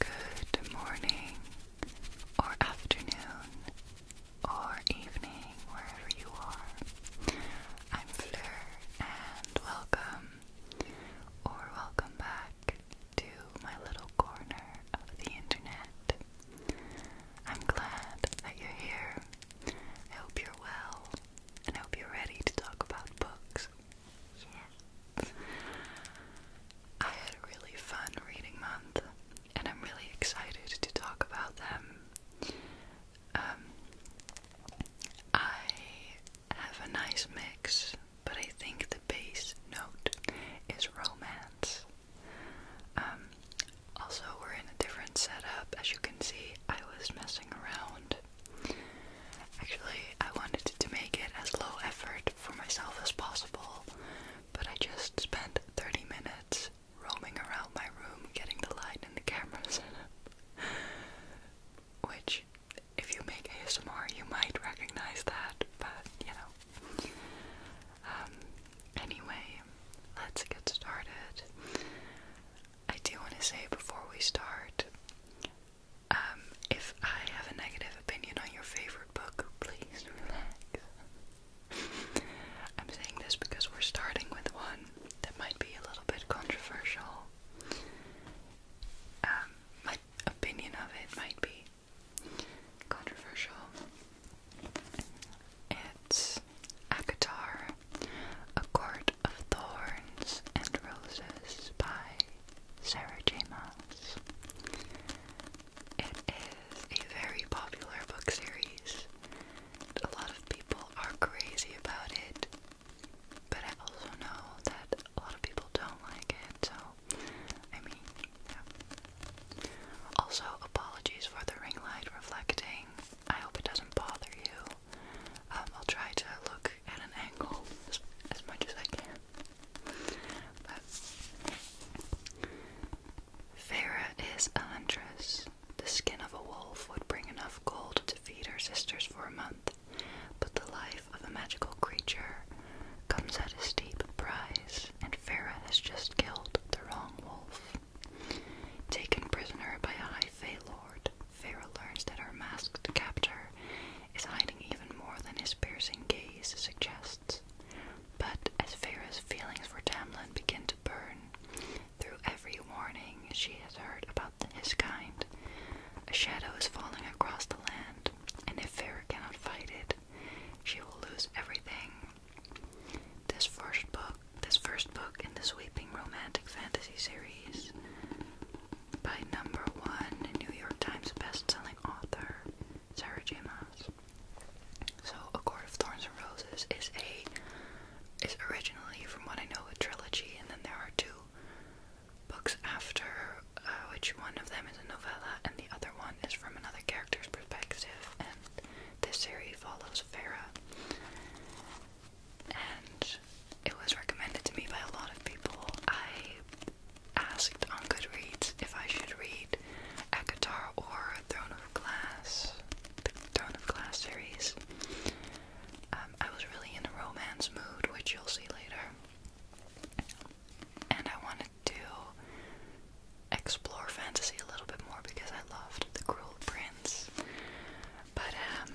Good morning, or afternoon, or evening, wherever you are. I'm Fleur, and welcome, or welcome back to my little corner of the internet. I'm glad that you're here. I hope you're well, and I hope you're ready to talk about books I had a really fun reading month, and I'm really excited to talk about them. Um, I have a nice mix, but I think the base note is romance. Um, also, we're in a different setup. As you can see, I was messing around Actually, I wanted to make it as low effort for myself as possible, but I just spent 30 minutes roaming around my room getting the light and the cameras. set up. Which, if you make ASMR, you might recognize that, but you know. Um, anyway, let's get started. I do want to say before we start, um, if I have a negative opinion on your favorite book, please relax. I'm saying this because we're starting with one that might be a little bit controversial. Um, my opinion of it might be controversial. It's Akatar, A Court of Thorns and Roses by Sarah J. Maas. It is a very popular book series. A lot of people are crazy about it, but I also know that a lot of people don't like it, so I mean, yeah. Also, apologies for the ring light reflecting. I hope it doesn't bother you. Um, I'll try to look Farah is a huntress. The skin of a wolf would bring enough gold to feed her sisters for a month, but the life of a magical creature comes at a steep price, and Farah has just killed the wrong wolf. Taken prisoner by a high Fey lord, Feyre learns that her masked captor is hiding even more than his piercing gaze suggests. But as Feyre's feelings for Tamlin begin to burn, through every warning she has heard about his kind, a shadow is falling across the land, and if Feyre cannot fight it, she will lose everything. This first book, this first book in the sweeping romantic fantasy series, by number one New York Times best-selling author Sarah J. Maas. So, A Court of Thorns and Roses is a is originally, from what I know, a trilogy, and then there are two books after, uh, which one of them is a novella, and the other one is from another character's perspective. And this series follows Farah, and it was recommended to me by a lot of people. I asked on Goodreads if I should read Akatar or Throne of Glass, the Throne of Glass series. Um, I was really in a romance mood, which you'll see later, and I wanted to explore fantasy a little bit more because I loved The Cruel Prince. But um,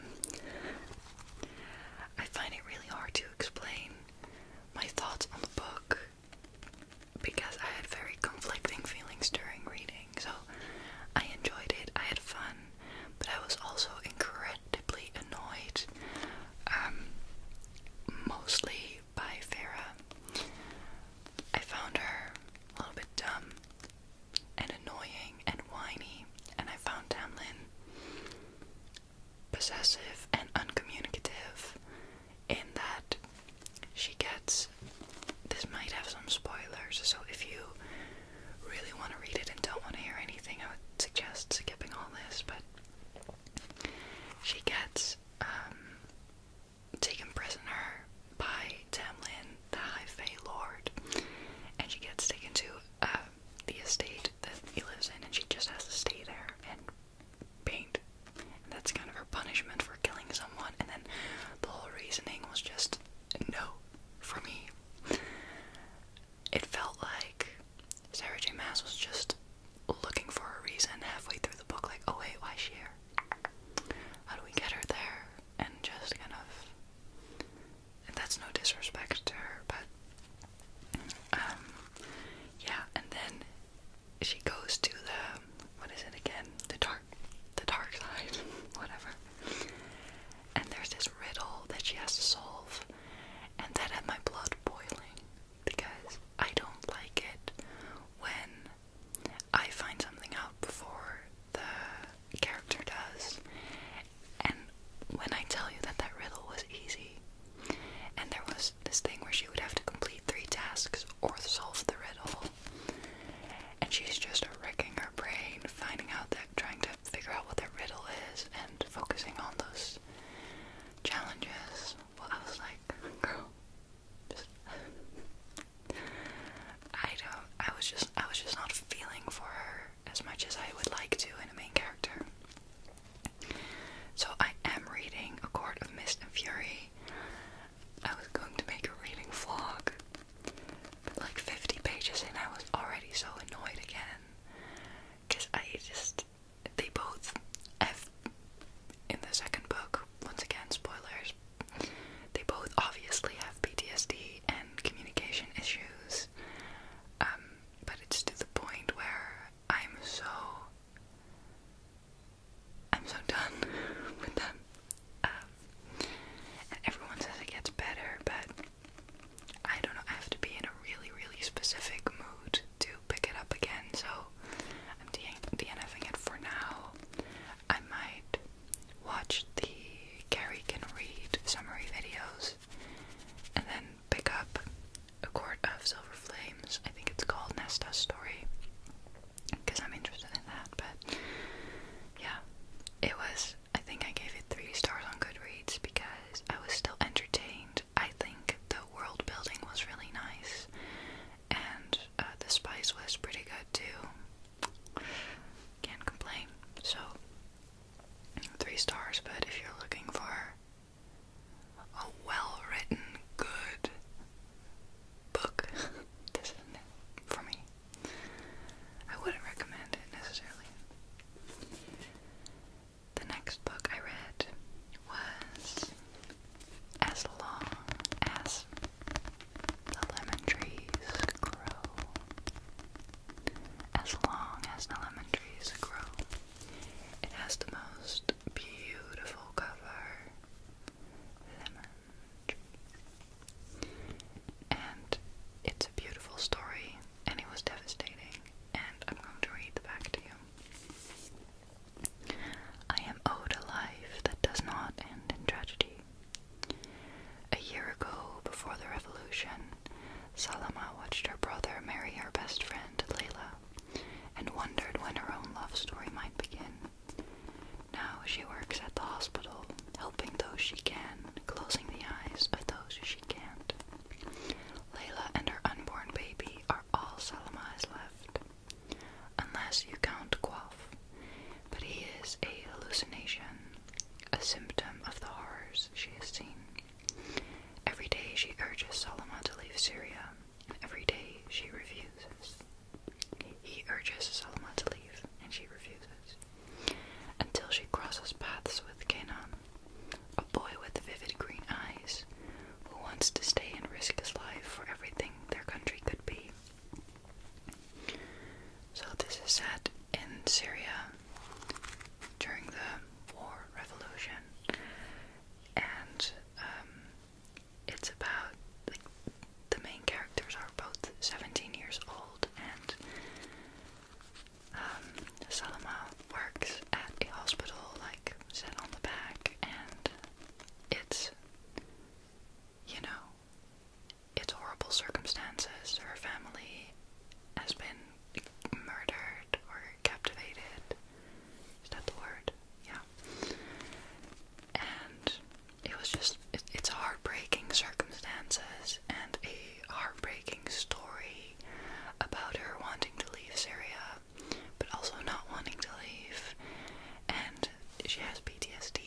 I find it really hard to explain my thoughts on the book because I had very conflicting feelings during reading. So I enjoyed it, I had fun, but I was also incredibly annoyed. Um, mostly by Farah. I found her a little bit dumb and annoying and whiny, and I found Tamlin possessive and uncommunicative in that she gets this might have some spoilers, so if you really want to read it and don't want to hear anything, I would suggest skipping all this, but she gets um, taken prisoner by Tamlin, the High Fey Lord, and she gets taken to um, the estate that he lives in, and she just has to stay there and paint. that's kind of her punishment for killing someone. And then the whole reasoning was just no for me. It felt like Sarah J. Mass was just looking for a reason halfway through the book, like, oh wait, why is she here? How do we get her there? And just kind of and that's no disrespect to her, but um, yeah. And then she goes to the what is it again? The dark, the dark side, whatever. And there's this riddle that she has to solve, and that had my blood boiling because I don't like it when I find something out before the character does. And when I tell you that that riddle was easy, and there was this thing where she would have to complete three tasks or solve the riddle, and she's just wrecking her brain, finding out that, trying to figure out what the riddle is, and focusing on those challenges. Well, I was like, girl, I don't. I was just. I was just not feeling for her as much as I would like to in a main character. So I am reading *A Court of Mist and Fury*. I was going to make a reading vlog, but like 50 pages and I was already so annoyed again, cause I just. They both have in the second book. Once again, spoilers. They both obviously have PTSD and communication issues, um, but it's to the point where I'm so I'm so done with them. Um, and everyone says it gets better, but I don't know. I have to be in a really, really specific mood to pick it up again, so I'm DNFing it for now. I might watch the Gary Can Read summary videos and then pick up A Court of Silver Flames. I think it's called Nesta's Story because I'm interested in that. But yeah, it was, I think I gave it three stars on Goodreads because I was still entertained. I think the world building was really nice and uh, the spice was pretty good too. Can't complain. So, three stars, but if you're looking for a well written, good book, this isn't for me. I wouldn't recommend it necessarily. The next book I read was As Long as the lemon trees grow. As long as the lemon trees grow, it has the most beautiful cover. Lemon trees. And it's a beautiful story, and it was devastating. And I'm going to read the back to you. I am owed a life that does not end in tragedy. A year ago, before the revolution, Salama watched her brother marry her best friend, Layla, and wondered when her own love story might begin. Now she works at the hospital, helping those she can, closing the eyes of those she can't. Layla and her unborn baby are all Salama has left. Unless you count Quaff, but he is a hallucination, a symptom of the horrors she has seen. Every day she urges Solomon to leave Syria, and every day she refuses. He urges Solomon to leave, and she refuses. Until she crosses paths with Canaan, a boy with vivid green eyes, who wants to stay and risk his life for everything their country could be. So, this is set in Syria during the war revolution, and um, it's about the main characters are both 17 years old, and um, works at a hospital, like set on the back, and it's you know, it's horrible circumstances. Her family has been murdered or captivated. Is that the word? Yeah. And it was just, it's heartbreaking circumstances and a heartbreaking story about her wanting to leave Syria, but also not wanting to leave. And she has PTSD,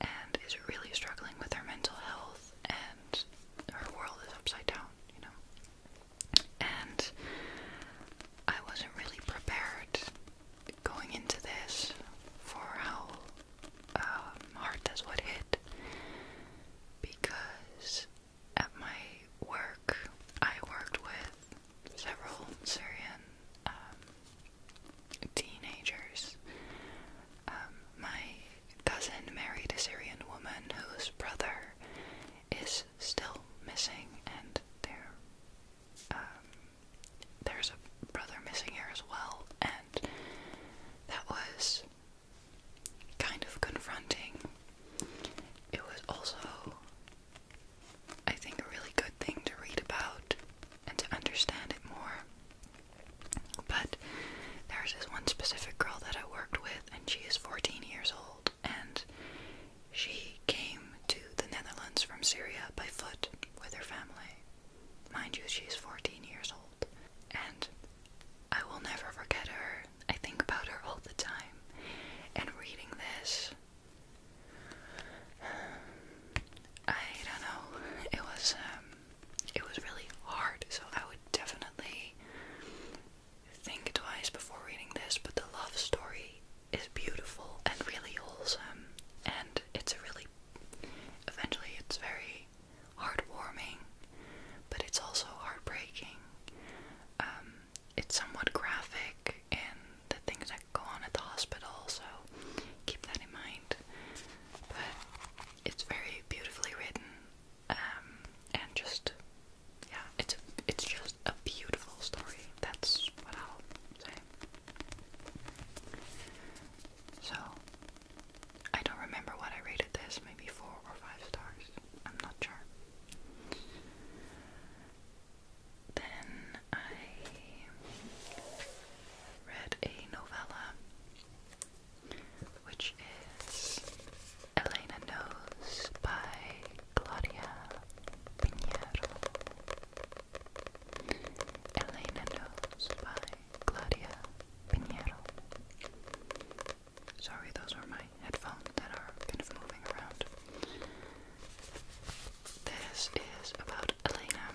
and is really struggling with her mental health and her world is upside down, you know. And I wasn't really prepared going into this for how um, hard this would hit because at my work I worked with several Syrian um, teenagers. Um, my cousin married a Syrian woman whose brother is still missing, and um, there's a brother missing here as well, and that was kind of confronting. It was also I think, a really good thing to read about and to understand it more. But there's this one specific girl that I worked with, and she is 14 years old, and she came to the Netherlands from Syria by foot with her family. Mind you, she's 14 years old, and I will never forget her. I think about her all the time, and reading this I don't know. It was um, it was really hard, so I would definitely think twice before reading this. But the love story is beautiful and really wholesome, and it's a really eventually it's very heartwarming, but it's also heartbreaking. Um, it's somewhat graphic and the things that go on at the hospital, so keep that in mind. But it's very beautifully written, um, and just yeah, it's it's just a beautiful story. That's what I'll say. So I don't remember what I rated this. Maybe four or five stars. I'm not sure. Then I read a novella which is Elena Knows by Claudia Pinheiro. Elena Knows by Claudia Pinheiro. Sorry, those are my headphones that are kind of moving around. This is about Elena.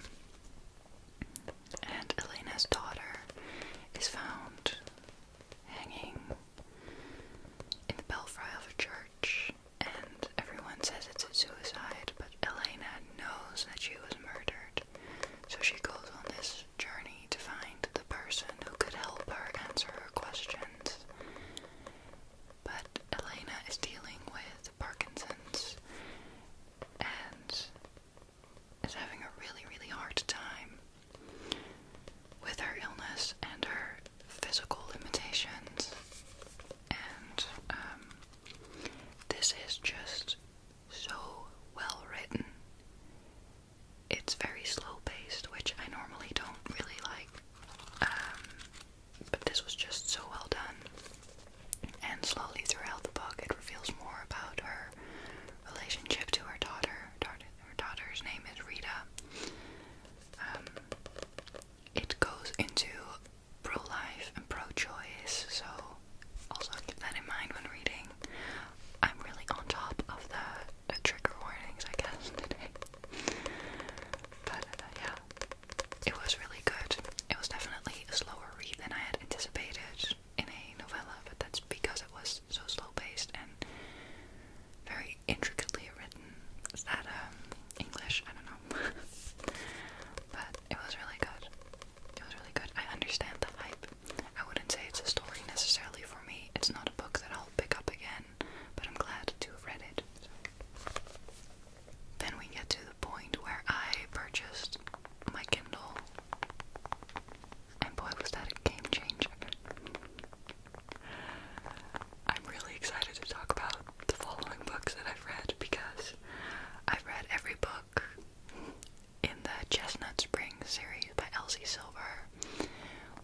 And Elena's daughter is found hanging in the belfry of a church, and everyone says it's a suicide, but Elena knows that she was murdered, so she goes on this journey to find the person who could help her answer her questions. But Elena is dealing with Parkinson's and is having a really, really hard time with her illness and her physical limitations. And um, this is just so well written. It's very slow paced, which I normally don't really like. Um, but this was just so well done. And slowly throughout the book, it reveals more about her relationship to her daughter. Her daughter's name is Rita. Um, it goes into pro life and pro choice, so also keep that in mind when reading. I'm really on top of the, trigger warnings, I guess, today. Uh, yeah, it was really good. It was definitely a slower read than I had anticipated in a novella, but that's because it was so slow paced and very intricately written. Is that um, English? I don't know. but it was really good. It was really good. I understand the hype. I wouldn't say it's a story necessarily for me. It's not a book that I'll pick up again but I'm glad to have read it. Then we get to the point where I purchased my Kindle, and boy, was that a game changer! I'm really excited to talk about the following books that I've read because I've read every book in the Chestnut Spring series by Elsie Silver,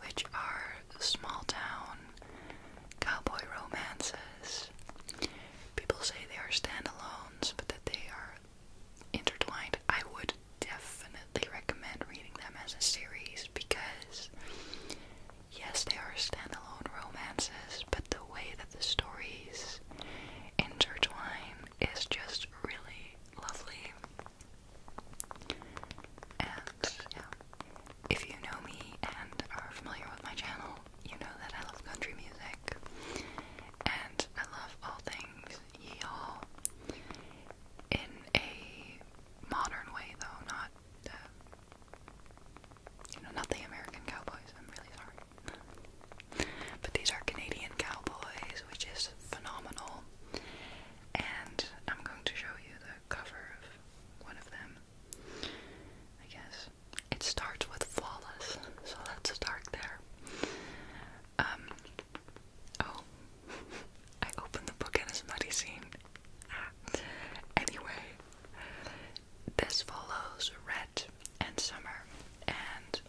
which are small town cowboy romances. People say they are standalones, but that they are intertwined. I would definitely recommend reading them as a series because, yes, they are standalone romances, but the way that the stories intertwine is just really lovely. And yeah, if you know me and are familiar with my channel, you know that I love country music and I love all things y'all in a modern way though, not the you know, not the American cowboys, I'm really sorry. but these are Canadian cowboys, which is phenomenal. And I'm going to show you the cover of one of them. I guess it starts with flawless, so let's start there. Um. Oh, I opened the book in a smutty scene. anyway, this follows Red and Summer, and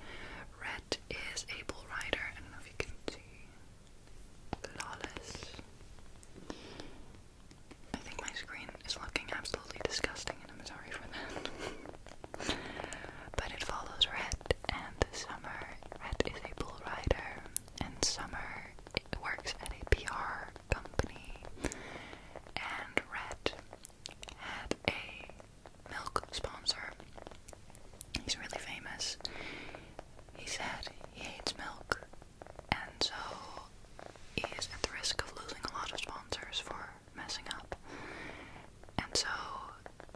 Red is Able Rider. I don't know if you can see. Flawless. I think my screen is looking absolutely disgusting, and I'm sorry for that. but it follows Red, and summer. Red is a bull rider, and summer works at a PR company. And Red had a milk sponsor. He's really famous. He said he hates milk and so he is at the risk of losing a lot of sponsors for messing up. And so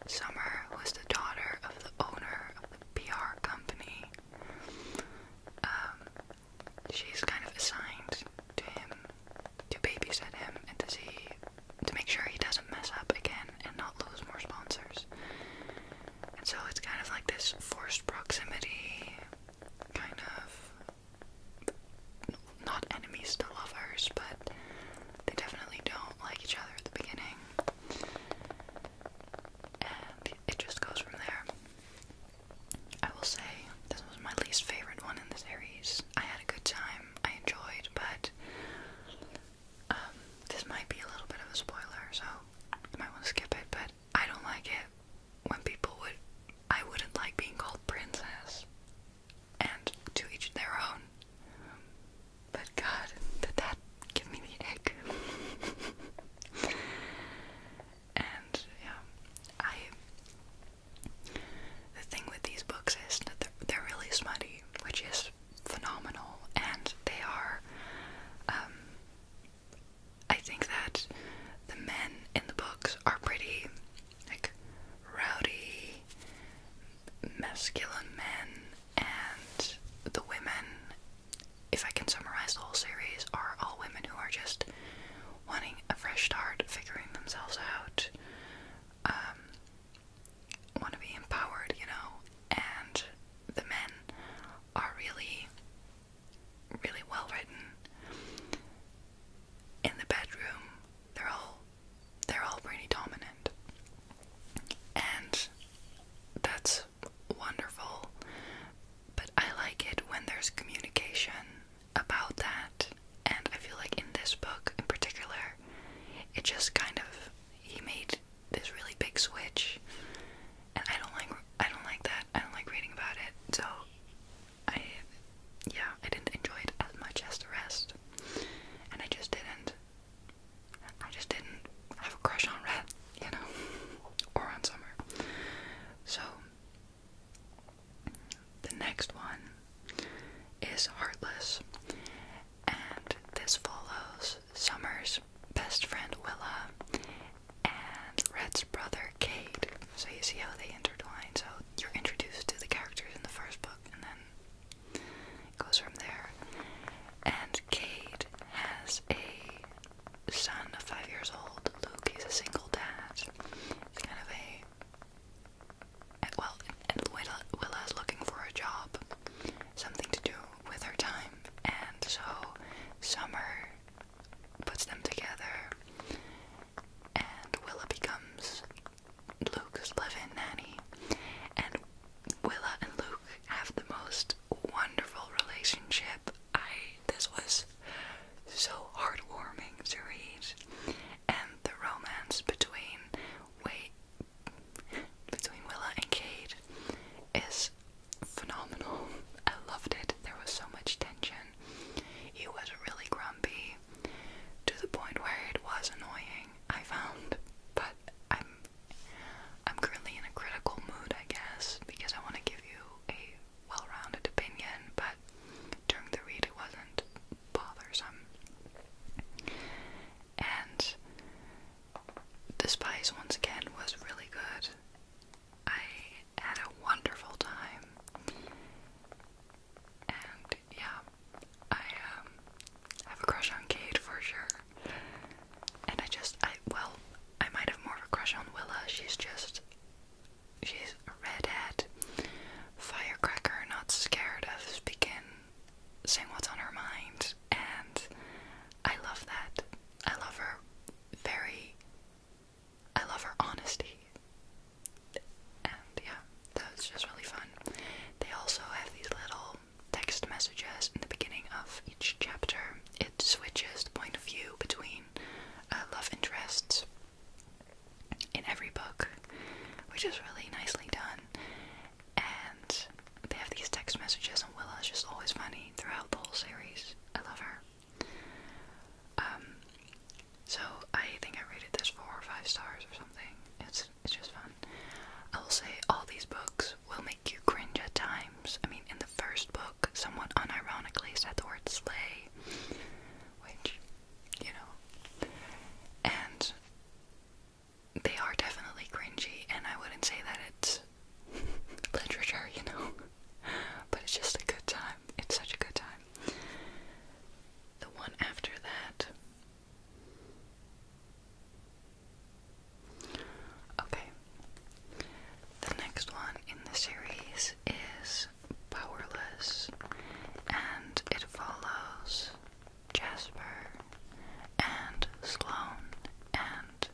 Summer was the daughter of the owner of the PR company. Um, she's kind of assigned to him to babysit him and to see to make sure he doesn't mess up again and not lose more sponsors. And so it's kind of like this forced proximity, kind of not enemies to lovers, but they definitely don't like each other at the beginning. And it just goes from there. I will say this was my least favorite one in the series. I had a good time, I enjoyed, but um, this might be a little bit of a spoiler, so you might want to skip it, but I don't like it when people would I wouldn't like being called princess. And to each their own. But God, did that give me the egg? and yeah, I. The thing with these books is that they're, they're really smutty, which is phenomenal, and they are um, I think that the men in the books are pretty like rowdy, masculine men, and the women, if I can summarize the whole series, are all women who are just wanting a fresh start, figuring themselves out, um, want to be empowered, you know, and the men are really, really well written. In the bedroom, they're all they're all pretty dominant, and that's wonderful. But I like it when there's communication about that, and I feel like in this book in particular, it just kind of he made this really big switch, and I don't like I don't like that. I don't like reading about it. So I yeah, I didn't enjoy it as much as the rest, and I just didn't. I just didn't have a crush on Red, you know, or on Summer. So the next one is Heartless, and this follows Summer's best friend Willa, and Red's brother Cade. So you see how they intertwine. So you're introduced to the characters in the first book, and then it goes from there. And Cade has a son of five years old, Luke. He's a single dad. He's kind of a well, and Willa, Willa's looking for a job, something to do with her time, and so Summer puts them together, and Willa becomes Luke's live-in nanny, and Willa and Luke have the most wonderful relationship. I this was so heartwarming to read, and the romance between wait between Willa and Cade is phenomenal. I loved it. There was so much tension. He was really grumpy to the point where it was annoying, I found. But I'm I'm currently in a critical mood, I guess, because I want to give you a well-rounded opinion, but during the read it wasn't bothersome. And the Spice, once again, was really good. I had a wonderful time. And yeah, I um, have a crush on Kate for sure. And I just, I, well, I might have more of a crush on Willa. She's just, she's a redhead, firecracker, not scared of speaking, saying what's on her mind. And I love that. I love her very I love her honesty. And yeah, that's just really fun. They also have these little text messages in the beginning of each chapter. It switches the point of view between uh, love interests in every book, which is really nicely done and they have these text messages, and Willa is just always funny throughout the whole series. I love her. Um, so I think I rated this four or five stars or something. It's it's just fun. I will say all these books will make you cringe at times. I mean, in the first book, someone unironically said the word "slay," which you know, and they are definitely cringy, and I wouldn't say that it's literature, you know, but it's just a good time. It's such a good time. The one after that. Okay. The next one in the series is Powerless, and it follows Jasper and Sloan, and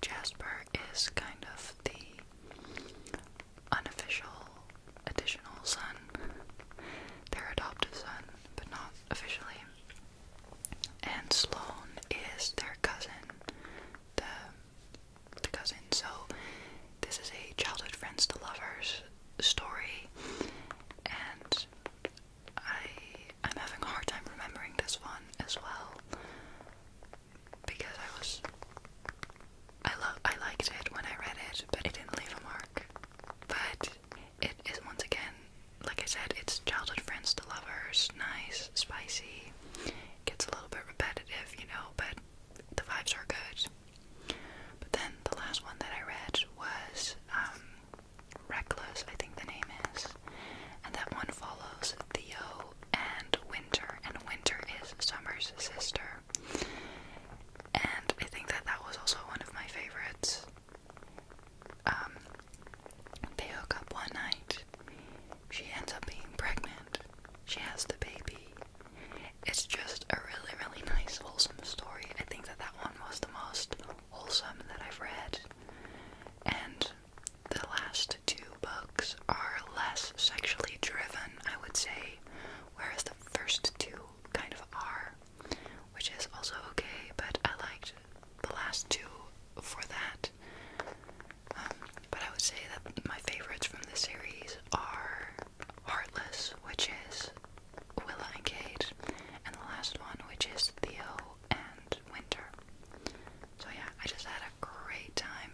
Jasper is kind of the unofficial additional son, their adoptive son, but not officially. And Sloan is their cousin, the cousin. So this is a childhood friends to lovers story, and I I'm having a hard time remembering this one as well because I was I love I liked it when I read it, but it didn't leave a mark. But it is once again, like I said, it's childhood friends to lovers, nice, spicy. Gets a little bit repetitive, you know, but the vibes are good. But then the last one that I read was um Reckless, I think the name is. And that one follows Theo and Winter, and Winter is Summer's sister. And I think that that was also one of my favorites. Um, they hook up one night. She ends up being pregnant. She has the baby. It's just a really, really nice, wholesome story. I think that that one was the most wholesome that I've read. And the last two books are less sexually driven, I would say, whereas the first two kind of are, which is also okay, but I liked the last two for that. Um, but I would say that my favorites from the series are Heartless, which is Willa and Kate, and the last one, which is Theo and Winter. So, yeah, I just had a great time,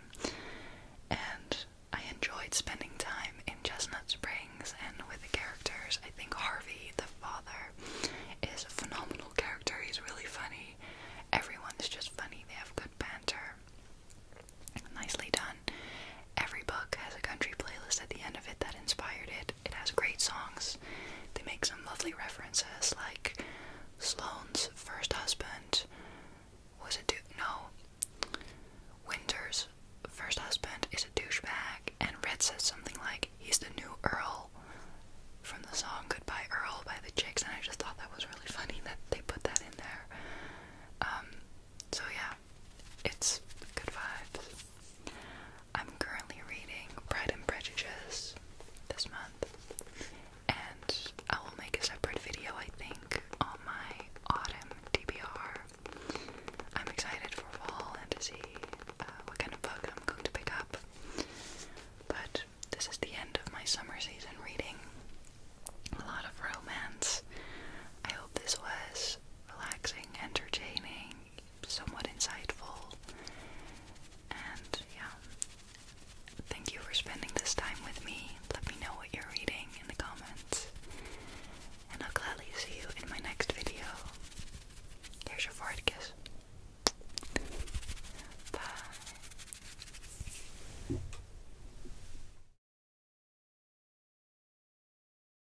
and I enjoyed spending time in Chestnut Springs and with the characters. I think Harvey, the father, is a phenomenal character. He's really funny. Everyone's just funny, they have good banter. Nicely done. Every book has a country playlist at the end of it that inspired it, it has great songs. They make some lovely references, like Sloane's first husband was a dude. No, Winter's first husband is a douchebag, and Red says something like, "He's the new Earl." From the song "Goodbye Earl" by the Chicks, and I just thought that was really funny that they put that in there. Um, so yeah, it's good vibes. I'm currently reading Pride and Prejudice this month, and I will make a separate video, I think, on my autumn DBR. I'm excited for fall and to see uh, what kind of book I'm going to pick up. But this is the end of my summer season reading. A lot of romance. I hope this was relaxing, entertaining, somewhat insightful. And yeah, thank you for spending this time with me. Let me know what you're reading in the comments. And I'll gladly see you in my next video. Here's your forehead kiss. Bye.